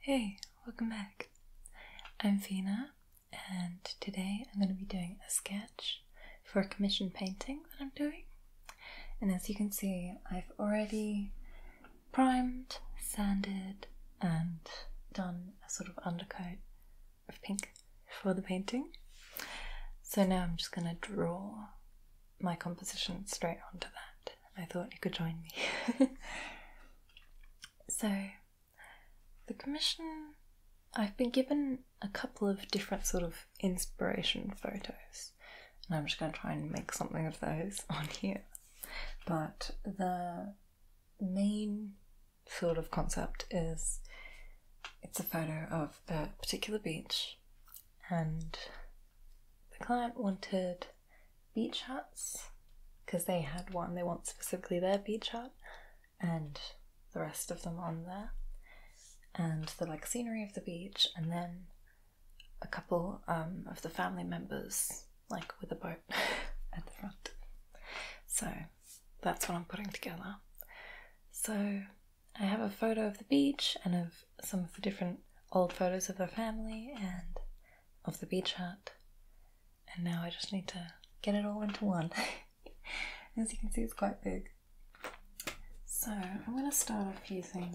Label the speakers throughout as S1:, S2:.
S1: Hey, welcome back. I'm Fina, and today I'm going to be doing a sketch for a commission painting that I'm doing. And as you can see, I've already primed, sanded, and done a sort of undercoat of pink for the painting. So now I'm just going to draw my composition straight onto that. I thought you could join me. so, the commission, I've been given a couple of different sort of inspiration photos, and I'm just going to try and make something of those on here. But the main sort of concept is it's a photo of the particular beach, and the client wanted beach hats because they had one, they want specifically their beach hat, and the rest of them on there, and the like scenery of the beach, and then a couple um, of the family members, like with a boat at the front. So that's what I'm putting together. So I have a photo of the beach and of some of the different old photos of the family and of the beach hut. And now I just need to get it all into one. As you can see, it's quite big. So I'm going to start off using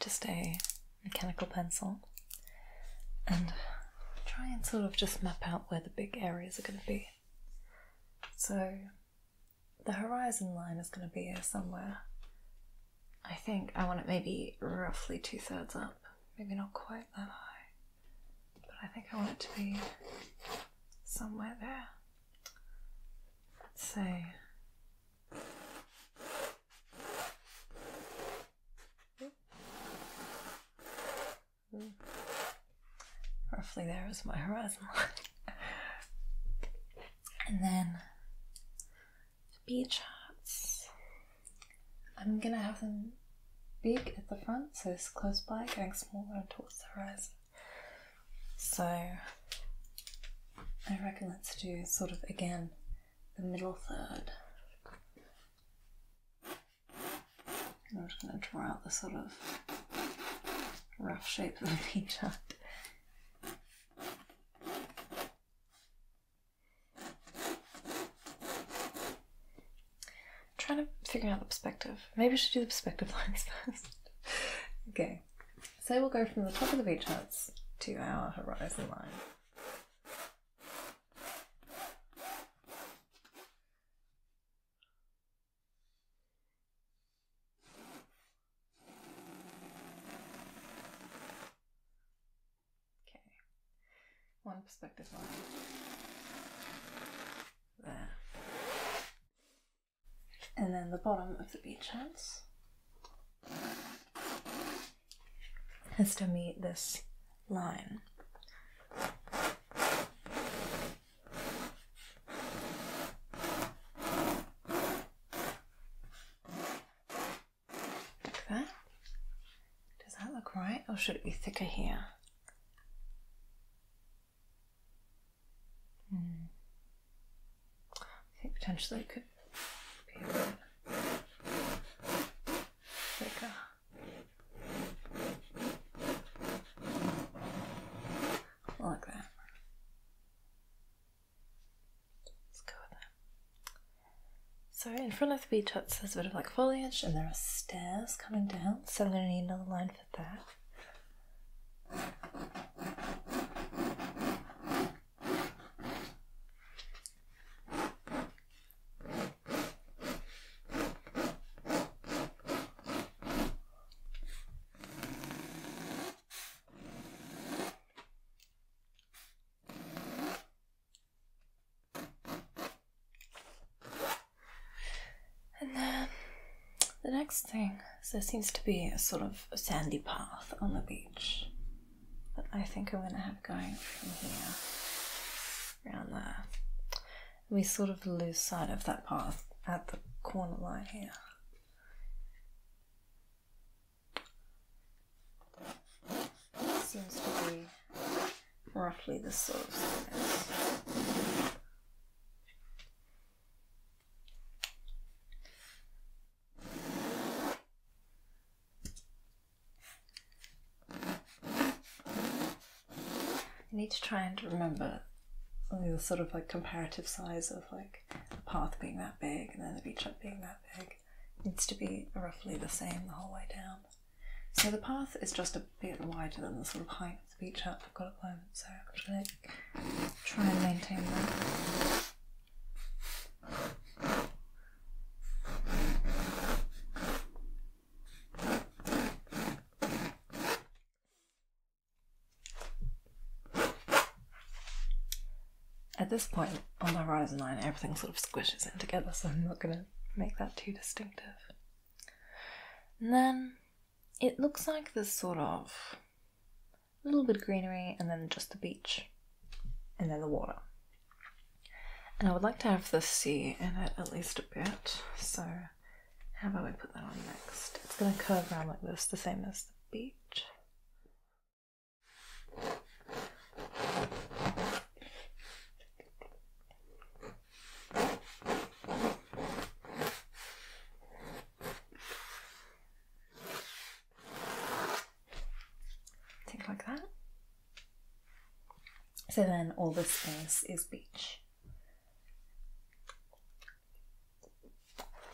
S1: just a mechanical pencil and try and sort of just map out where the big areas are going to be. So the horizon line is going to be somewhere. I think I want it maybe roughly two thirds up, maybe not quite that high, but I think I want it to be somewhere there. Let's say. Roughly there is my horizon line. and then the beach hats. I'm gonna have them big at the front, so it's close by, getting smaller towards the horizon. So I reckon let's do sort of again the middle third. I'm just going to draw out the sort of rough shape of the beach hut. Trying to figure out the perspective. Maybe we should do the perspective lines first. okay, so we'll go from the top of the beach hut to our horizon line. Okay, one perspective line. There. And then the bottom of the beach house has to meet this line. Like that. Does that look right, or should it be thicker here? Hmm. I think potentially it could be a bit thicker like that. Let's go with that. So in front of the beach huts there's a bit of like foliage and there are stairs coming down, so I'm gonna need another line for that. And then the next thing there seems to be a sort of sandy path on the beach that I think I'm going to have going from here around there we sort of lose sight of that path at the corner line here. Seems to be roughly the sort size. I need to try and remember the sort of like comparative size of like the path being that big and then the beach hut being that big. needs to be roughly the same the whole way down. So the path is just a bit wider than the sort of height of the beach hut I've got at the so I'm just going to try and maintain that. At this point on the horizon line, everything sort of squishes in together, so I'm not going to make that too distinctive. And then it looks like there's sort of a little bit of greenery and then just the beach and then the water. And I would like to have the sea in it at least a bit, so how about we put that on next? It's going to curve around like this, the same as the beach. Take like that. So then all this space is beach.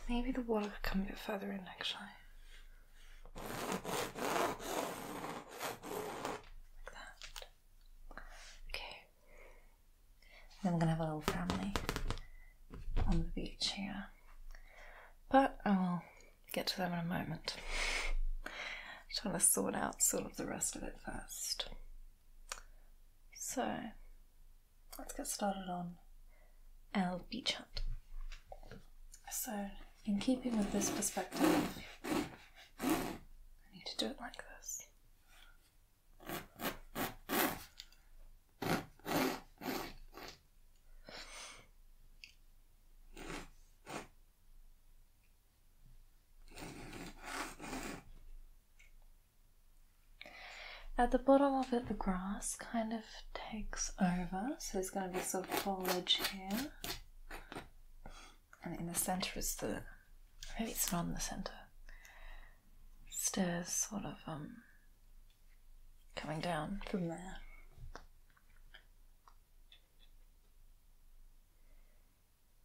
S1: Maybe the water could come a bit further in actually. Like that. Okay. Then we're gonna have a little family on the beach here. But I will get to them in a moment. Just want to sort out sort of the rest of it first. So let's get started on our Beach Hut. So, in keeping with this perspective, I need to do it like this. At the bottom of it, the grass kind of takes over, so there's going to be sort of foliage here, and in the centre is the maybe it's not in the centre. Stairs sort of um coming down from there.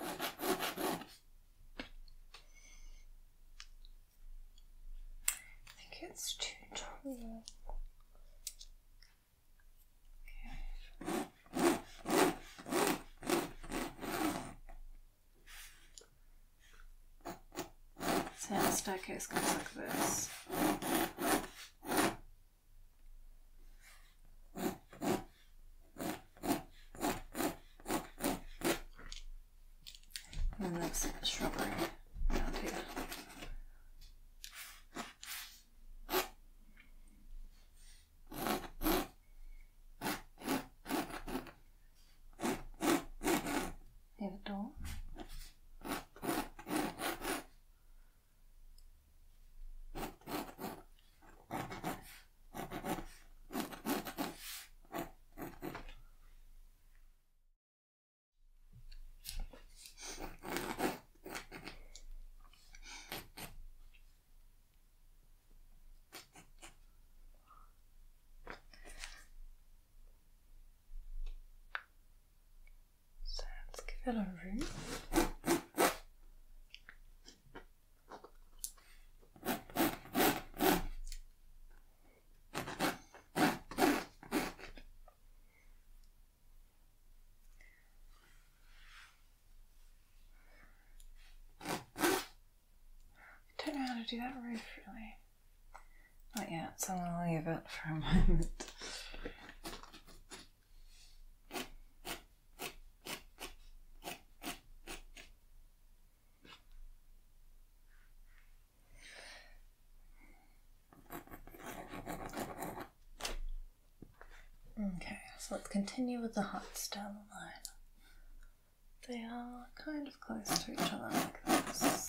S1: I think it's too tall. So staircase goes like this. And that's shrubbery around here. Near door. So let's give it a root. I don't know how to do that roof really. Not yet, so I'm gonna leave it for a moment. Okay, so let's continue with the hearts down the line. They are kind of close to each other like this.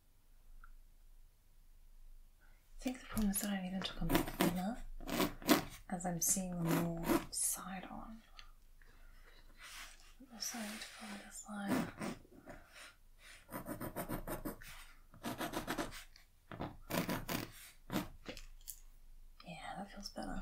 S1: I think the problem is that I need even to come back thinner as I'm seeing them more side on. I'm also need to follow this line. Yeah, that feels better.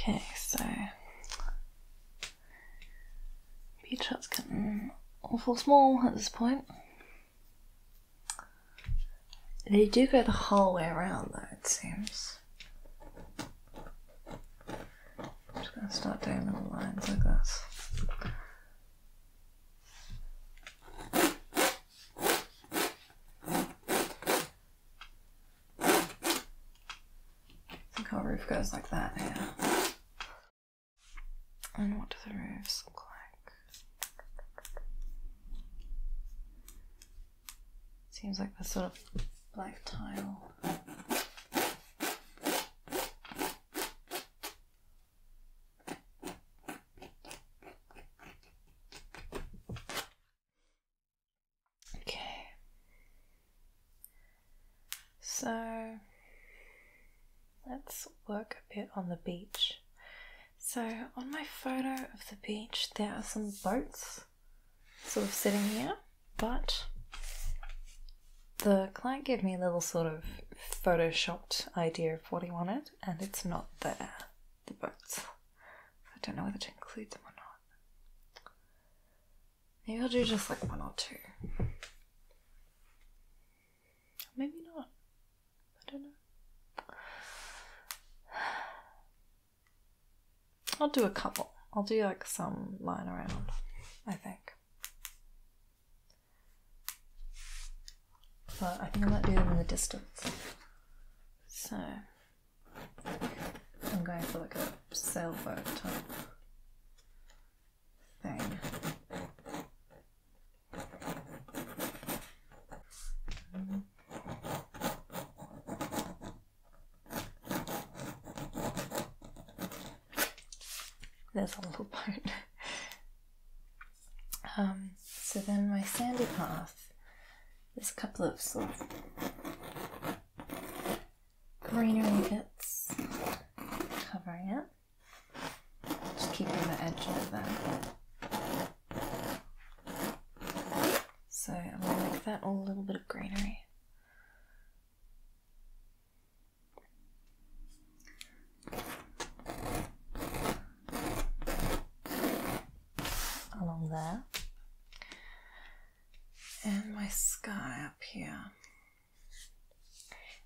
S1: Okay, so Beach Hut's getting awful small at this point. They do go the whole way around though, it seems. I'm just gonna start doing little lines like this. I think our roof goes like that, yeah. And what do the roofs look like? Seems like a sort of black tile. Okay. So let's work a bit on the beach. So, on my photo of the beach, there are some boats sort of sitting here, but the client gave me a little sort of photoshopped idea of what he wanted, and it's not there, the boats. I don't know whether to include them or not. Maybe I'll do just like one or two. Maybe not. I don't know. I'll do a couple. I'll do like some line around, I think. But I think I might do them in the distance. So I'm going for like a sailboat type thing. There's a little part. um, so then my sandy path, there's a couple of sort of greenery bits covering it. Just keeping the edge of that. So I'm gonna make that all a little bit of greenery. Along there. And my sky up here.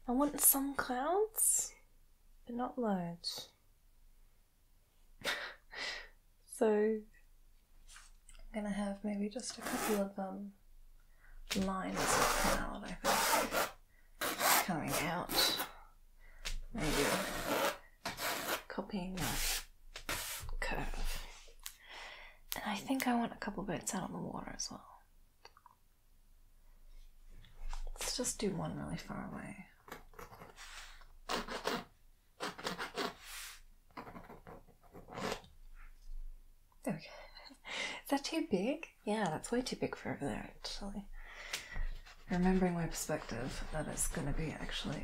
S1: I want some clouds, but not loads. so I'm gonna have maybe just a couple of um, lines of cloud, I think, coming out. Maybe copying that curve. And I think I want a couple bits out on the water as well. Let's just do one really far away. There Is that too big? Yeah, that's way too big for over there, actually. Remembering my perspective, that it's going to be actually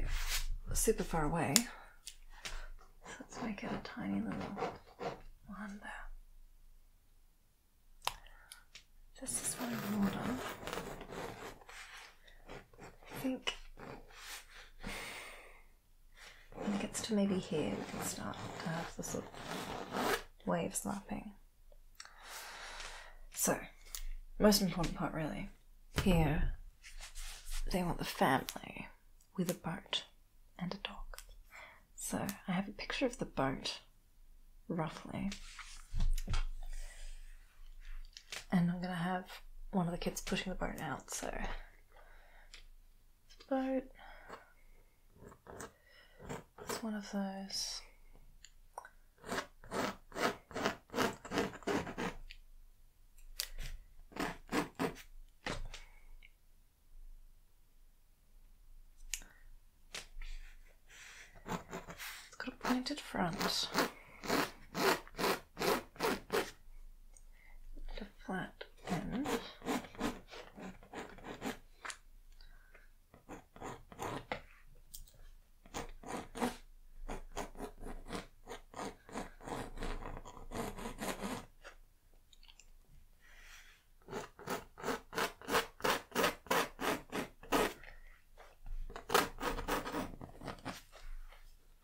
S1: super far away. So let's make it a tiny little one there. This is one of order. I think when it gets to maybe here, we can start to have the sort of waves lapping. So, most important part really, here they want the family with a boat and a dog. So I have a picture of the boat roughly. And I'm gonna have one of the kids pushing the boat out, so boat. It's one of those. It's got a pointed front. And a flat end.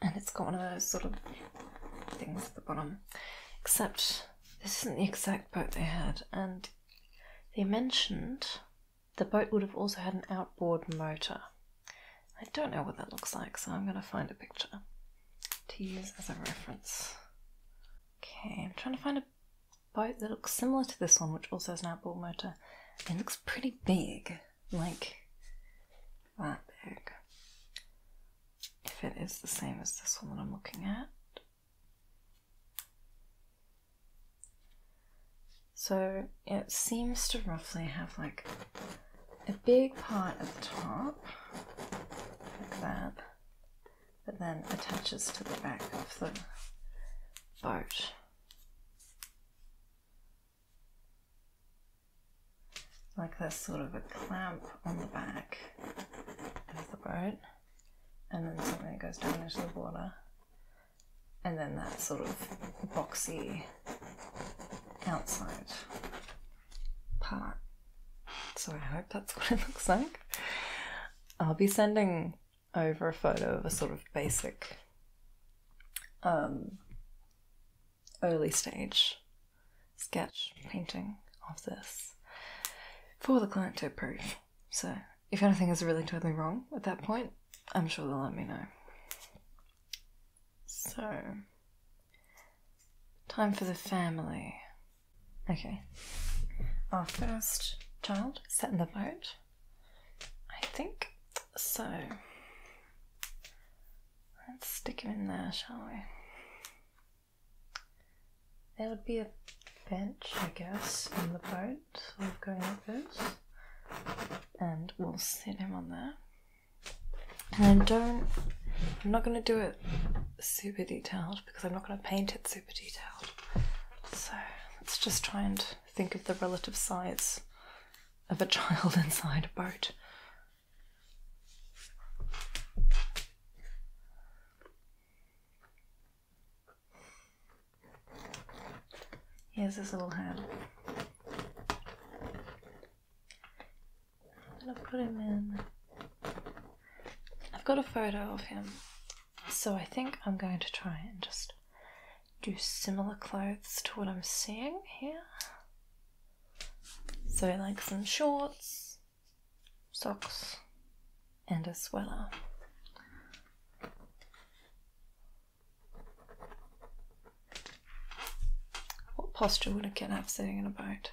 S1: And it's got one of those sort of things at the bottom. Except this isn't the exact boat they had, and they mentioned the boat would have also had an outboard motor. I don't know what that looks like, so I'm going to find a picture to use as a reference. Okay, I'm trying to find a a boat that looks similar to this one, which also has an outboard motor. It looks pretty big, like that big. If it is the same as this one that I'm looking at. So it seems to roughly have like a big part at the top, like that, that then attaches to the back of the boat. Like there's sort of a clamp on the back of the boat, and then something that goes down into the water, and then that sort of boxy outside part. So I hope that's what it looks like. I'll be sending over a photo of a sort of basic um, early stage sketch painting of this for the client to approve. So if anything is really totally wrong at that point, I'm sure they'll let me know. So, time for the family. Okay. Our first child set in the boat, I think. So let's stick him in there, shall we? There would be a bench, I guess, in the boat, sort of going like this. And we'll sit him on there. And don't, I'm not going to do it super detailed because I'm not going to paint it super. So let's just try and think of the relative size of a child inside a boat. Here's his little hand. I'm gonna put him in. I've got a photo of him so I think I'm going to try and just do similar clothes to what I'm seeing here. So, like some shorts, socks, and a sweater. What posture would a kid have sitting in a boat?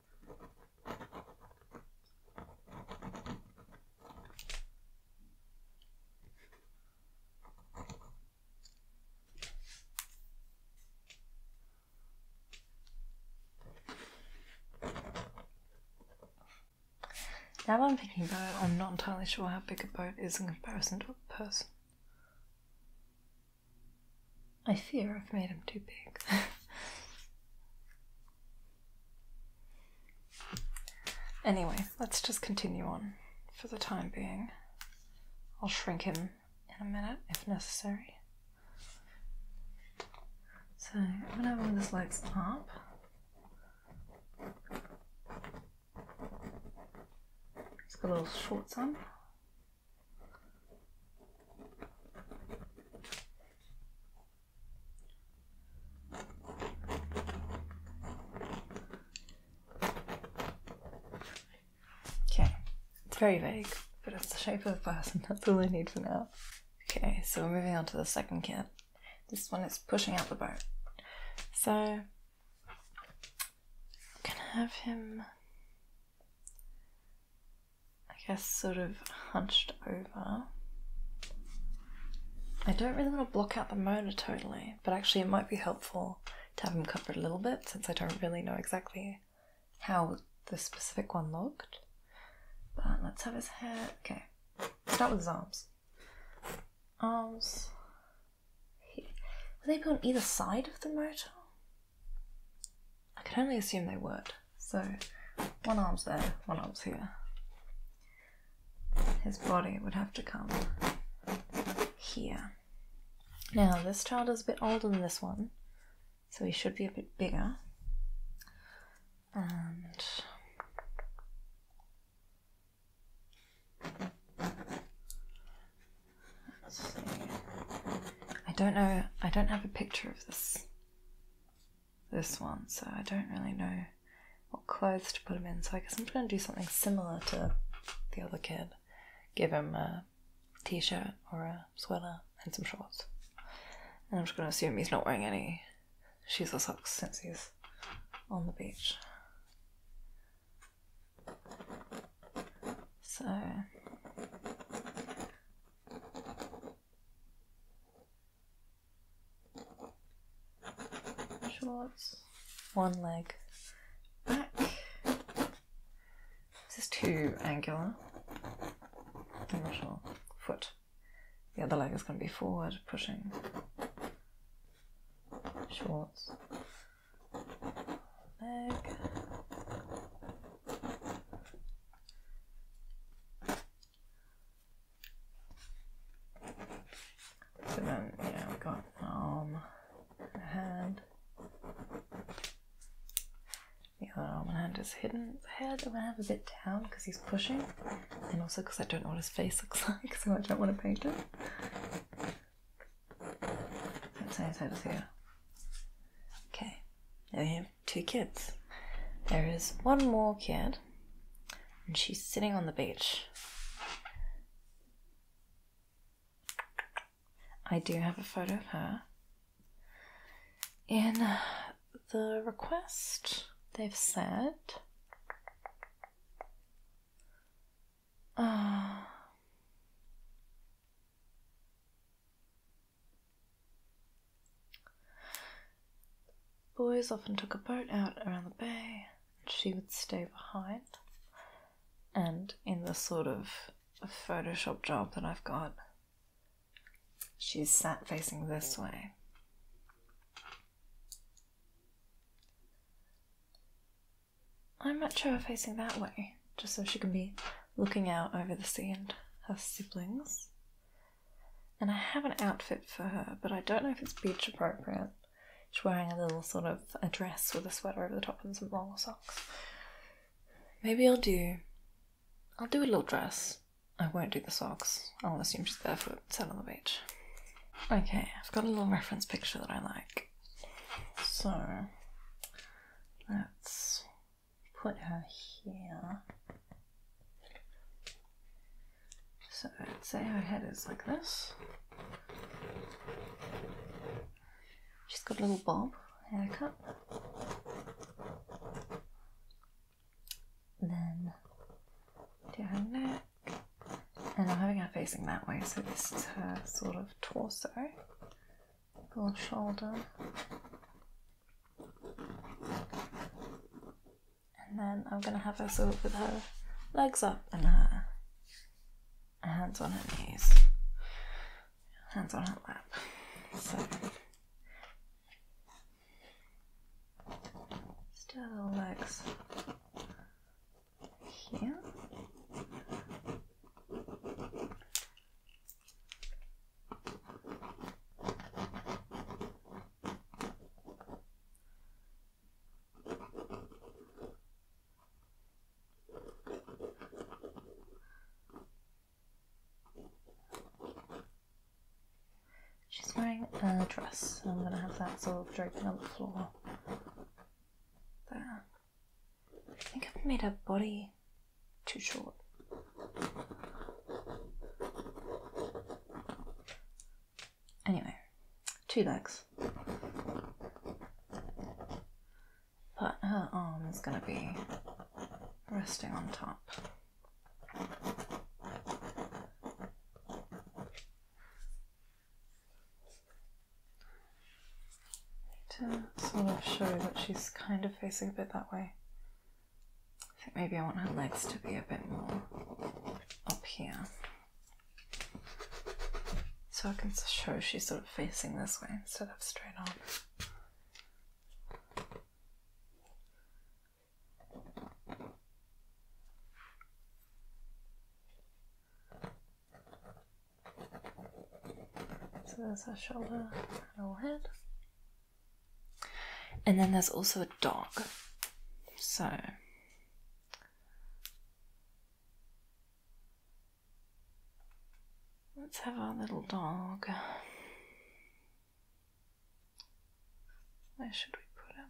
S1: Now that I'm thinking about it, I'm not entirely sure how big a boat is in comparison to a person. I fear I've made him too big. anyway, let's just continue on for the time being. I'll shrink him in a minute if necessary. So I'm gonna have one of his legs up. He's got little shorts on. Okay, it's very vague, but it's the shape of a person. That's all I need for now. Okay, so we're moving on to the second kit. This one is pushing out the boat. So, I'm gonna have him I guess, sort of hunched over. I don't really want to block out the molar totally, but actually, it might be helpful to have him covered a little bit since I don't really know exactly how the specific one looked. But let's have his hair. Okay, start with his arms. Arms. Will they be on either side of the motor? I can only assume they would. So one arm's there, one arm's here. His body would have to come here. Now, this child is a bit older than this one, so he should be a bit bigger. And I don't know, I don't have a picture of this this one, so I don't really know what clothes to put him in. So I guess I'm going to do something similar to the other kid. Give him a t-shirt or a sweater and some shorts. And I'm just going to assume he's not wearing any shoes or socks since he's on the beach. So shorts, one leg back. This is too angular. I'm not sure. Foot. The other leg is going to be forward, pushing. Shorts. Leg. So then, yeah, we got an arm and hand. The other arm and hand is hidden. The head I'm gonna have a bit down because he's pushing, and also because I don't know what his face looks like, so I don't want to paint it. Let's say his head is here. Okay, now here two kids. There is one more kid, and she's sitting on the beach. I do have a photo of her. In uh, the request, they've said. Uh, boys often took a boat out around the bay, and she would stay behind. And in the sort of Photoshop job that I've got, she's sat facing this way. I match her facing that way, just so she can be looking out over the sea and her siblings and I have an outfit for her, but I don't know if it's beach appropriate. She's wearing a little sort of a dress with a sweater over the top and some long socks. Maybe I'll do. I'll do a little dress. I won't do the socks. I'll assume she's barefoot, sat on the beach. Okay, I've got a little reference picture that I like. So, that's put her here. So let's say her head is like this. She's got a little bob haircut. then do her neck. And I'm having her facing that way, so this is her sort of torso, little shoulder, and then I'm gonna have her sort with her legs up and her hands on her knees, hands on her lap. still her legs here. She's wearing a dress, I'm going to have that sort of draping on the floor. There. I think I've made a body too short. Anyway, two legs. But her arm is going to be resting on top. to sort of show that she's kind of facing a bit that way. I think maybe I want her legs to be a bit more up here. So I can show she's sort of facing this way instead of straight on. So there's her shoulder her head. And then there's also a dog. So let's have our little dog. Where should we put him?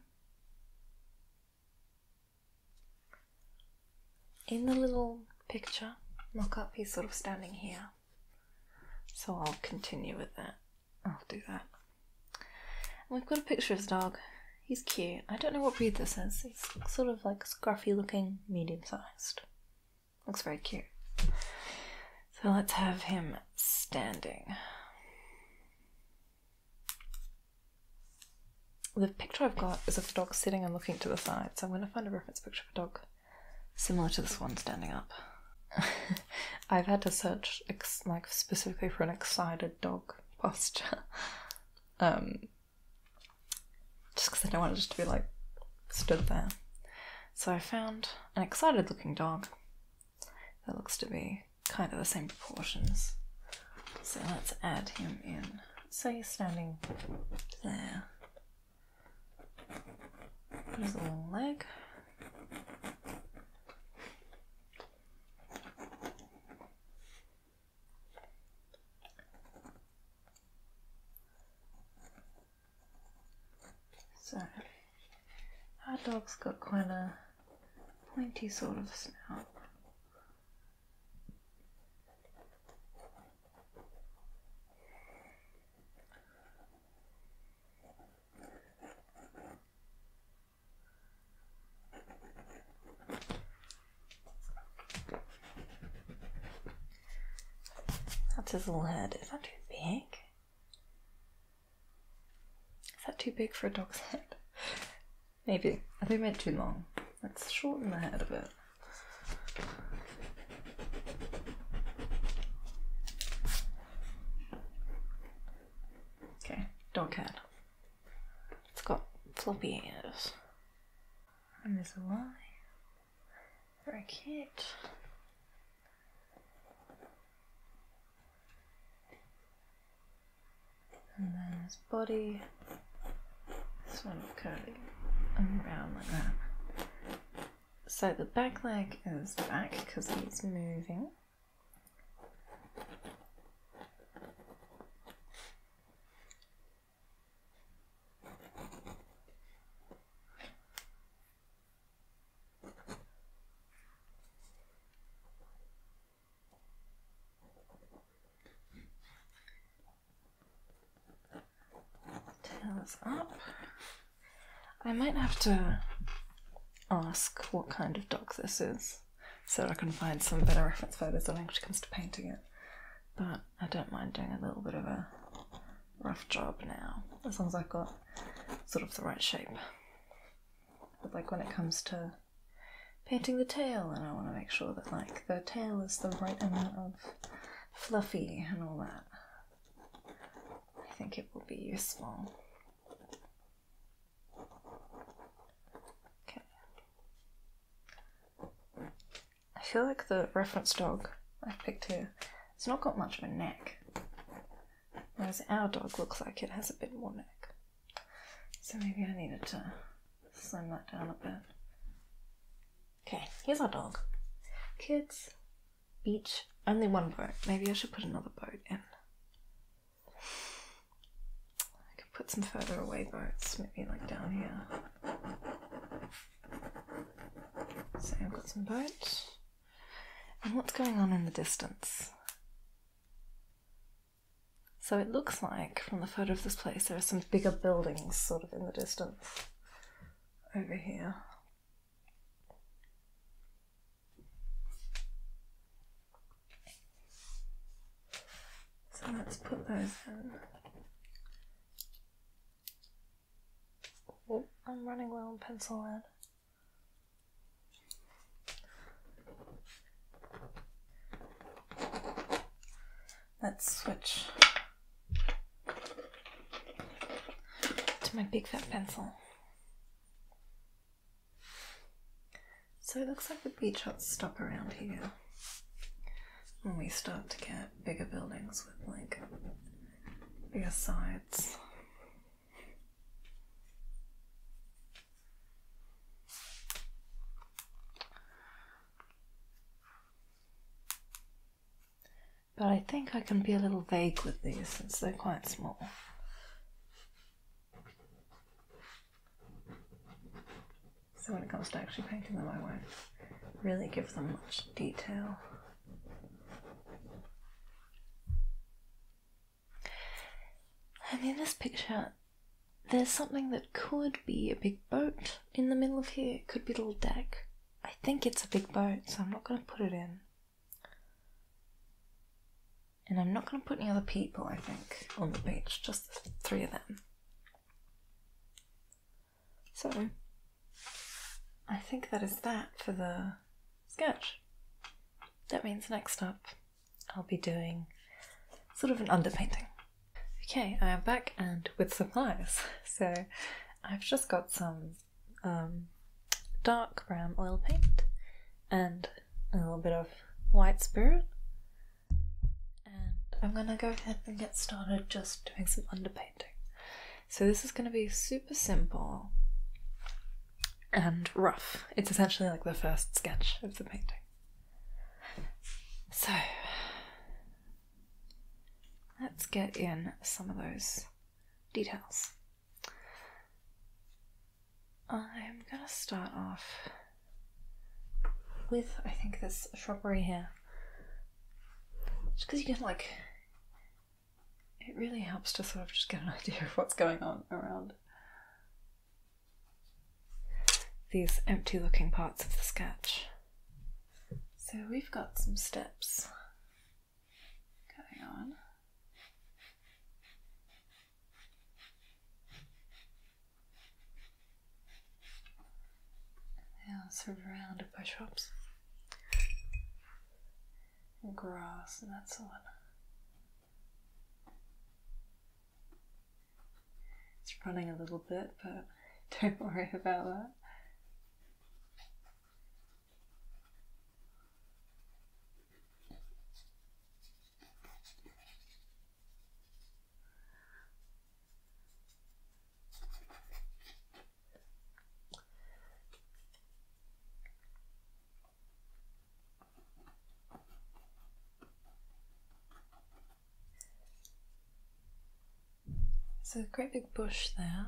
S1: In the little picture look up, he's sort of standing here. So I'll continue with that. I'll do that. we've got a picture of his dog. He's cute. I don't know what breed this is. He's sort of like scruffy looking, medium sized. Looks very cute. So let's have him standing. The picture I've got is of the dog sitting and looking to the side, so I'm going to find a reference picture of a dog similar to this one standing up. I've had to search like specifically for an excited dog posture, um, just because I don't want it just to be like stood there. So I found an excited looking dog that looks to be kind of the same proportions. So let's add him in. So he's standing there. There's a long leg. So, our dog's got quite a pointy sort of snout. That's his little head. Is that too big? Is that too big for a dog's head? Maybe. I think I went too long. Let's shorten the head a bit. Okay, dog head. It's got floppy ears. And there's a a Y. Very cute. And then there's body This of curly and round like that. So the back leg is back because it's moving. Tails up. I might have to ask what kind of dog this is so I can find some better reference photos when it comes to painting it. But I don't mind doing a little bit of a rough job now, as long as I've got sort of the right shape. But like when it comes to painting the tail, and I want to make sure that like the tail is the right amount of fluffy and all that, I think it will be useful. Okay. I feel like the reference dog I picked here, it's not got much of a neck. Whereas our dog looks like it has a bit more neck. So maybe I needed to slim that down a bit. Okay, here's our dog. Kids, each. Only one boat. Maybe I should put another boat in. I could put some further away boats, maybe like down here. So I've got some boats. And what's going on in the distance? So it looks like from the photo of this place there are some bigger buildings sort of in the distance over here. So let's put those in. Oh, I'm running low on pencil lead. Let's switch to my big fat pencil. So it looks like the beach huts stop around here. and we start to get bigger buildings with like bigger sides. But I think I can be a little vague with these since they're quite small. So when it comes to actually painting them, I won't really give them much detail. And in this picture, there's something that could be a big boat in the middle of here. It could be a little deck. I think it's a big boat, so I'm not going to put it in. And I'm not going to put any other people, I think, on the beach, just three of them. So, I think that is that for the sketch. That means next up, I'll be doing sort of an underpainting. Okay, I am back and with supplies. So, I've just got some um, dark brown oil paint and a little bit of white spirit. And I'm gonna go ahead and get started just doing some underpainting. So this is gonna be super simple and rough. It's essentially like the first sketch of the painting. So let's get in some of those details. I'm gonna start off with, I think, this shrubbery here. Just because you can, like, it really helps to sort of just get an idea of what's going on around these empty looking parts of the sketch. So we've got some steps going on. They surrounded by shops and grass and that sort. It's running a little bit, but don't worry about that. There's a great big bush there.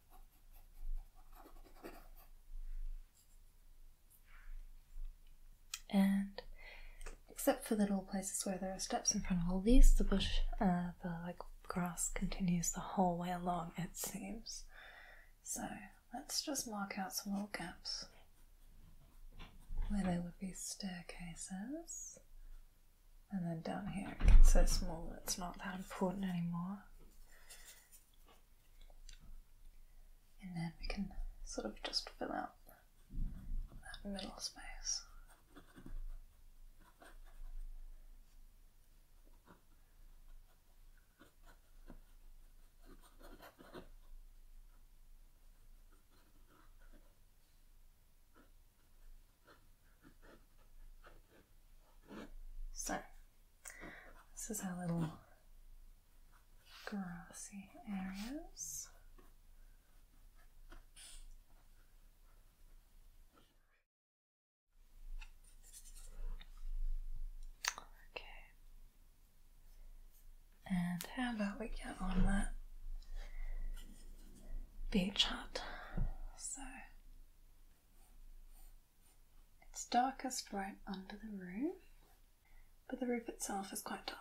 S1: And except for the little places where there are steps in front of all these, the bush, uh, the like grass continues the whole way along, it seems. So let's just mark out some little gaps where there would be staircases. And then down here it gets so small it's not that important anymore. And then we can sort of just fill out that middle space. So, this is our little grassy areas. Okay. And how about we get on that beach hut? So it's darkest right under the roof, but the roof itself is quite dark.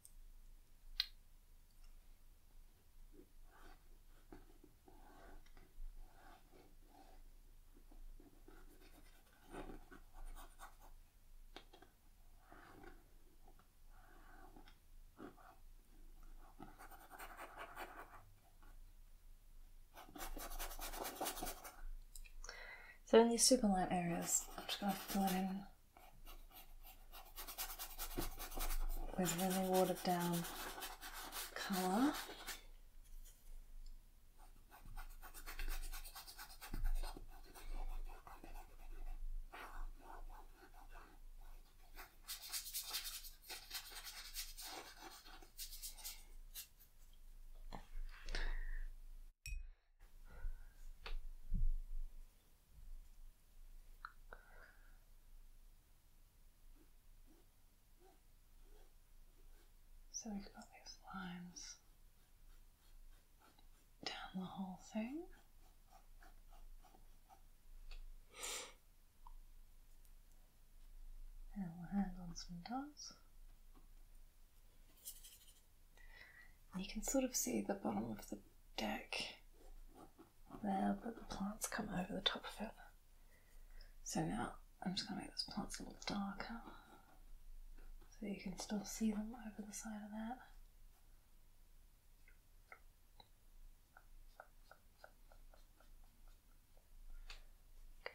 S1: so in these super light areas, I'm just going to fill it in with really watered down colour. So we've got these lines down the whole thing. And we'll add on some dots. you can sort of see the bottom of the deck there, but the plants come over the top of it. So now I'm just going to make those plants a little darker so you can still see them over the side of that. Okay.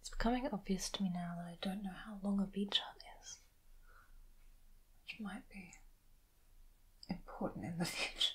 S1: It's becoming obvious to me now that I don't know how long a beach hut is, which might be important in the future.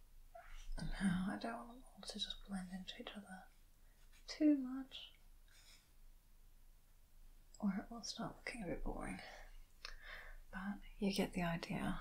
S1: No, I don't want them all to just blend into each other too much, or it will start looking a bit boring. But you get the idea.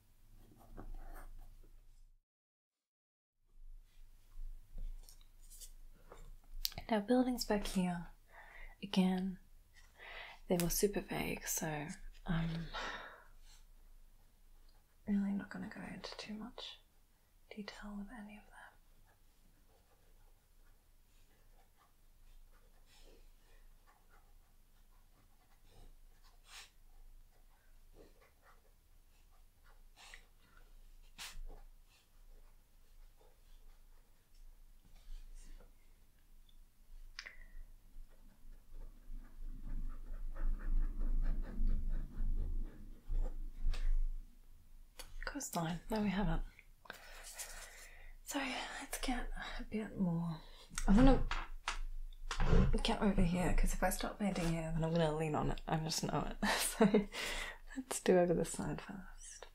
S1: Now, buildings back here, again, they were super vague, so I'm um, really not going to go into too much detail with any of them. Coastline, there we have it. So let's get a bit more I'm gonna get over here because if I stop bending here, then I'm gonna lean on it. I am just know it. so let's do over this side first.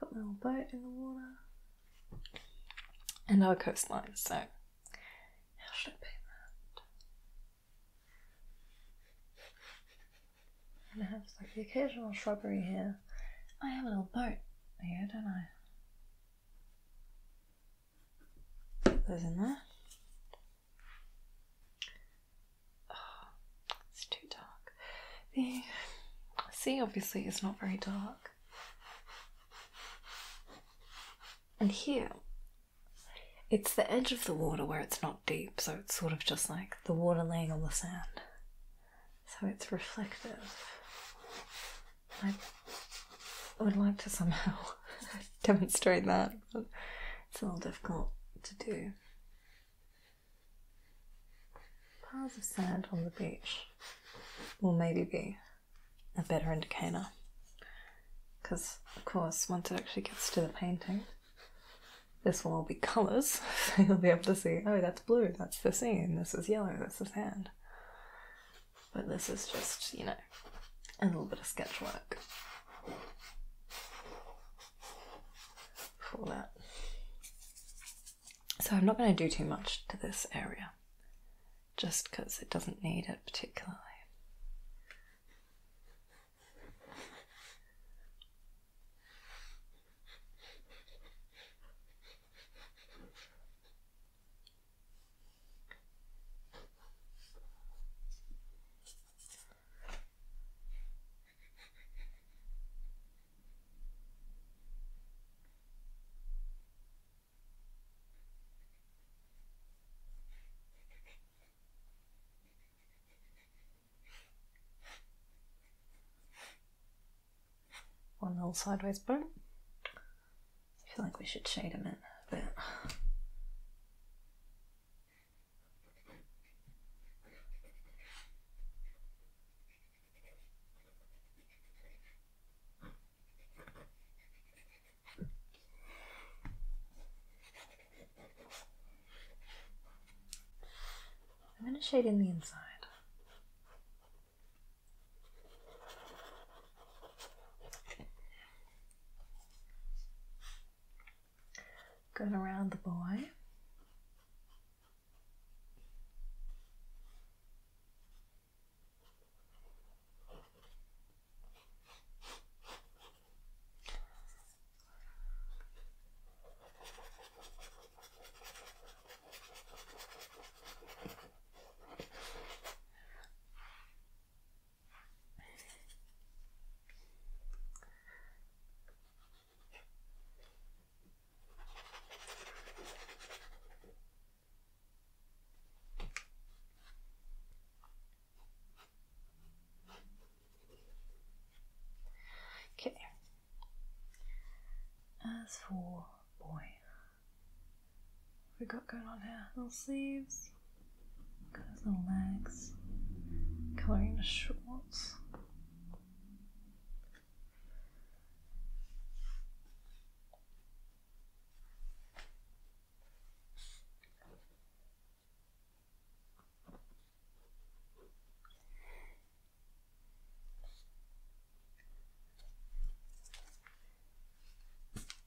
S1: Got my little boat in the water and our coastline. So how should I paint that? And I have like the occasional shrubbery here. I have a little boat here, don't I? Those in there. it's too dark. The sea obviously is not very dark. And here, it's the edge of the water where it's not deep, so it's sort of just like the water laying on the sand. So it's reflective. I would like to somehow demonstrate that, it's a little difficult to do. Piles of sand on the beach will maybe be a better indicator because, of course, once it actually gets to the painting, this will all be colours, so you'll be able to see oh, that's blue, that's the sea, and this is yellow, that's the sand. But this is just, you know, a little bit of sketch work for that. So I'm not going to do too much to this area just because it doesn't need it particularly. One little sideways burn. I feel like we should shade him in a bit. I'm going to shade in the inside. Good around the boy. Okay. As for boy, what we got going on here? Little sleeves, got his little legs, colouring the shorts.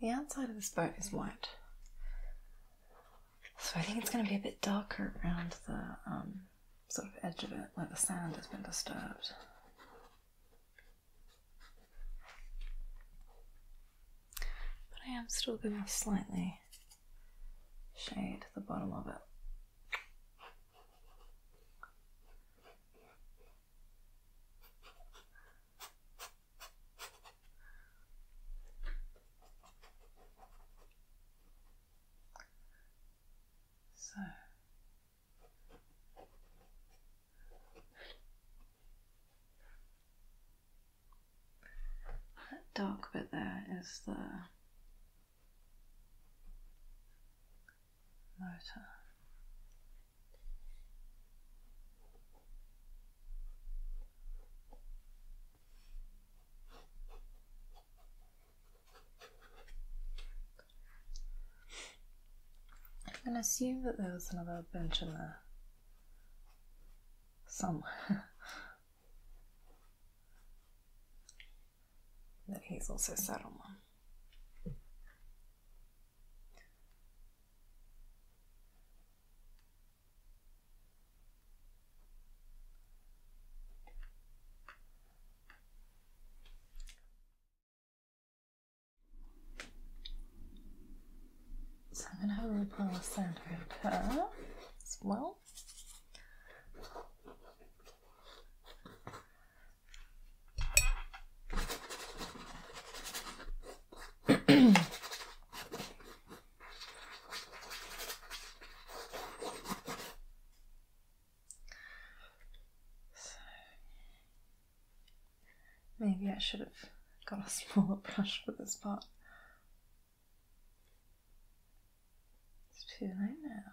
S1: The outside of this boat is white, so I think it's going to be a bit darker around the um, sort of edge of it where the sand has been disturbed. But I am still going to slightly shade the bottom of it. So that dark bit there is the motor. I'm going to assume that there was another bench in there some that he's also settled on so I'm going to have a ripple sound over her as well. Maybe I should have got a smaller brush for this part. It's too late now.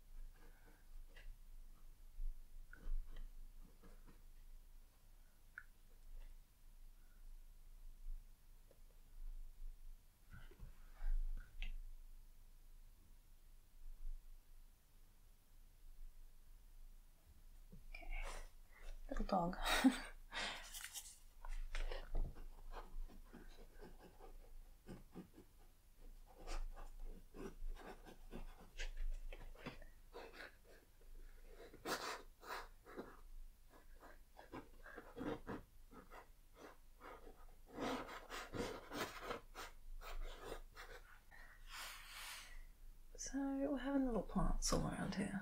S1: Okay, little dog. So we're having little plants all around here.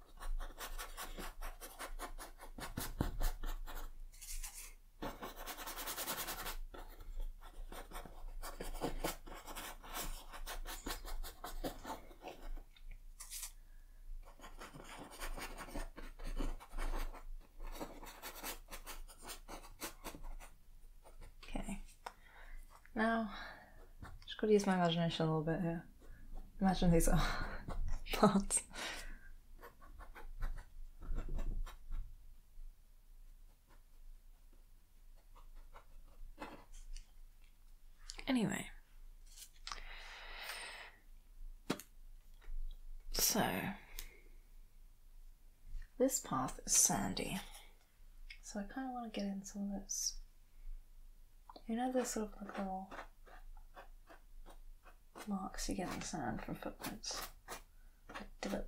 S1: Okay, now just going to use my imagination a little bit here. Imagine these are parts. Anyway, so this path is sandy, so I kind of want to get in some of those you know the sort of little marks you get in the sand from footprints? Like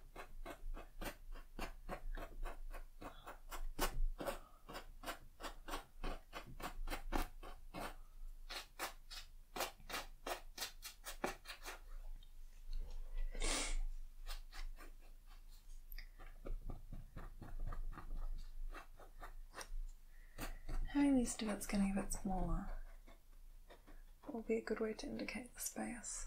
S1: Having these of it's going to get smaller will be a good way to indicate the space.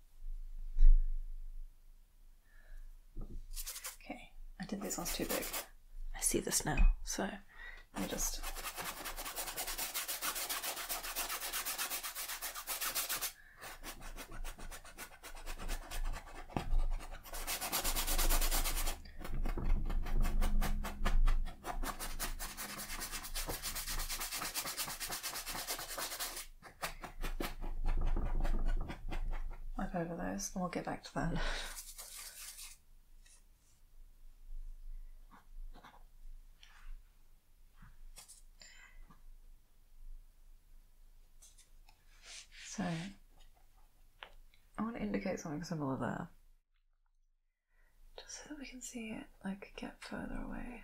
S1: Okay, I did this ones too big. I see this now, so let me just. I've over those, and we'll get back to that. So, I want to indicate something similar there. Just so that we can see it, like, get further away.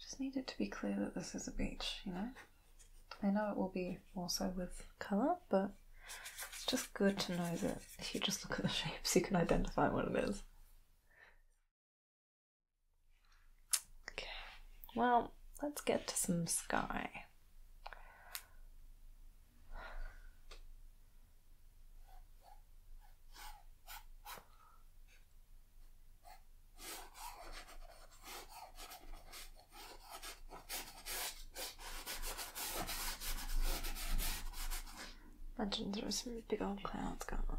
S1: Just need it to be clear that this is a beach, you know? I know it will be also with colour, but it's just good to know that if you just look at the shapes, you can identify what it is. Okay, well, let's get to some sky. Imagine there was some big old clouds going on.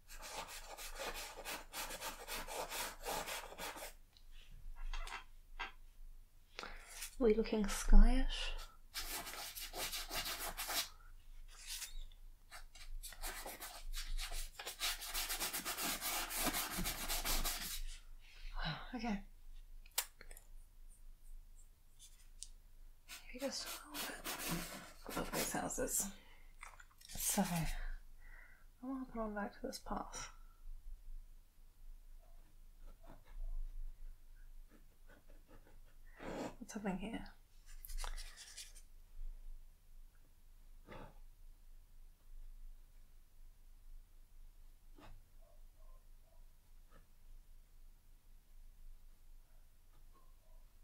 S1: Are we looking skyish? okay. Maybe just a little bit houses. So I'm to put on back to this path. What's happening here?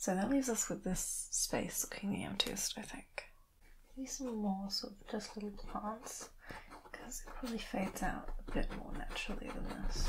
S1: So that leaves us with this space looking emptiest, I think. Maybe some more sort of just little plants, because it probably fades out a bit more naturally than this.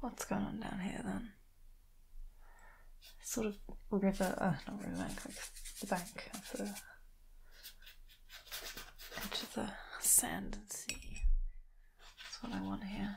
S1: What's going on down here then? sort of river, uh, not riverbank, the bank of the edge of the sand and sea. That's what I want here.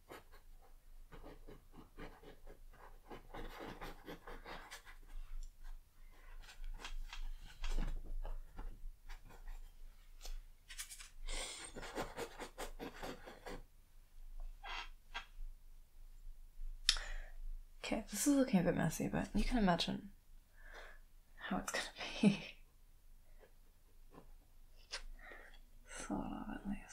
S1: Okay, this is looking a bit messy, but you can imagine how it's gonna be. Sort of, at least.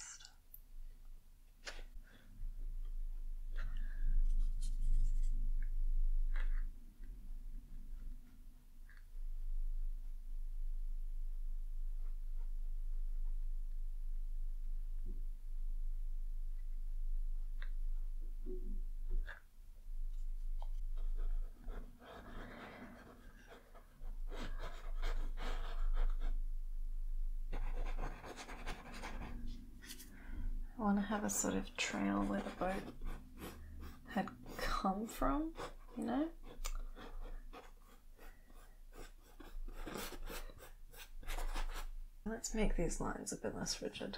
S1: I want to have a sort of trail where the boat had come from, you know? Let's make these lines a bit less rigid.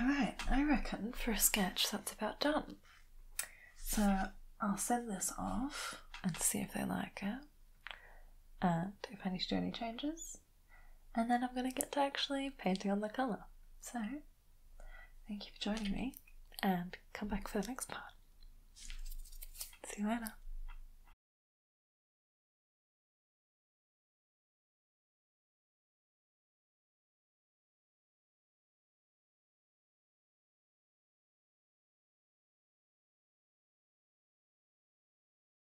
S1: Alright, I reckon for a sketch that's about done. So I'll send this off and see if they like it. And if I need any changes, and then I'm going to get to actually painting on the colour. So, thank you for joining me, and come back for the next part. See you later.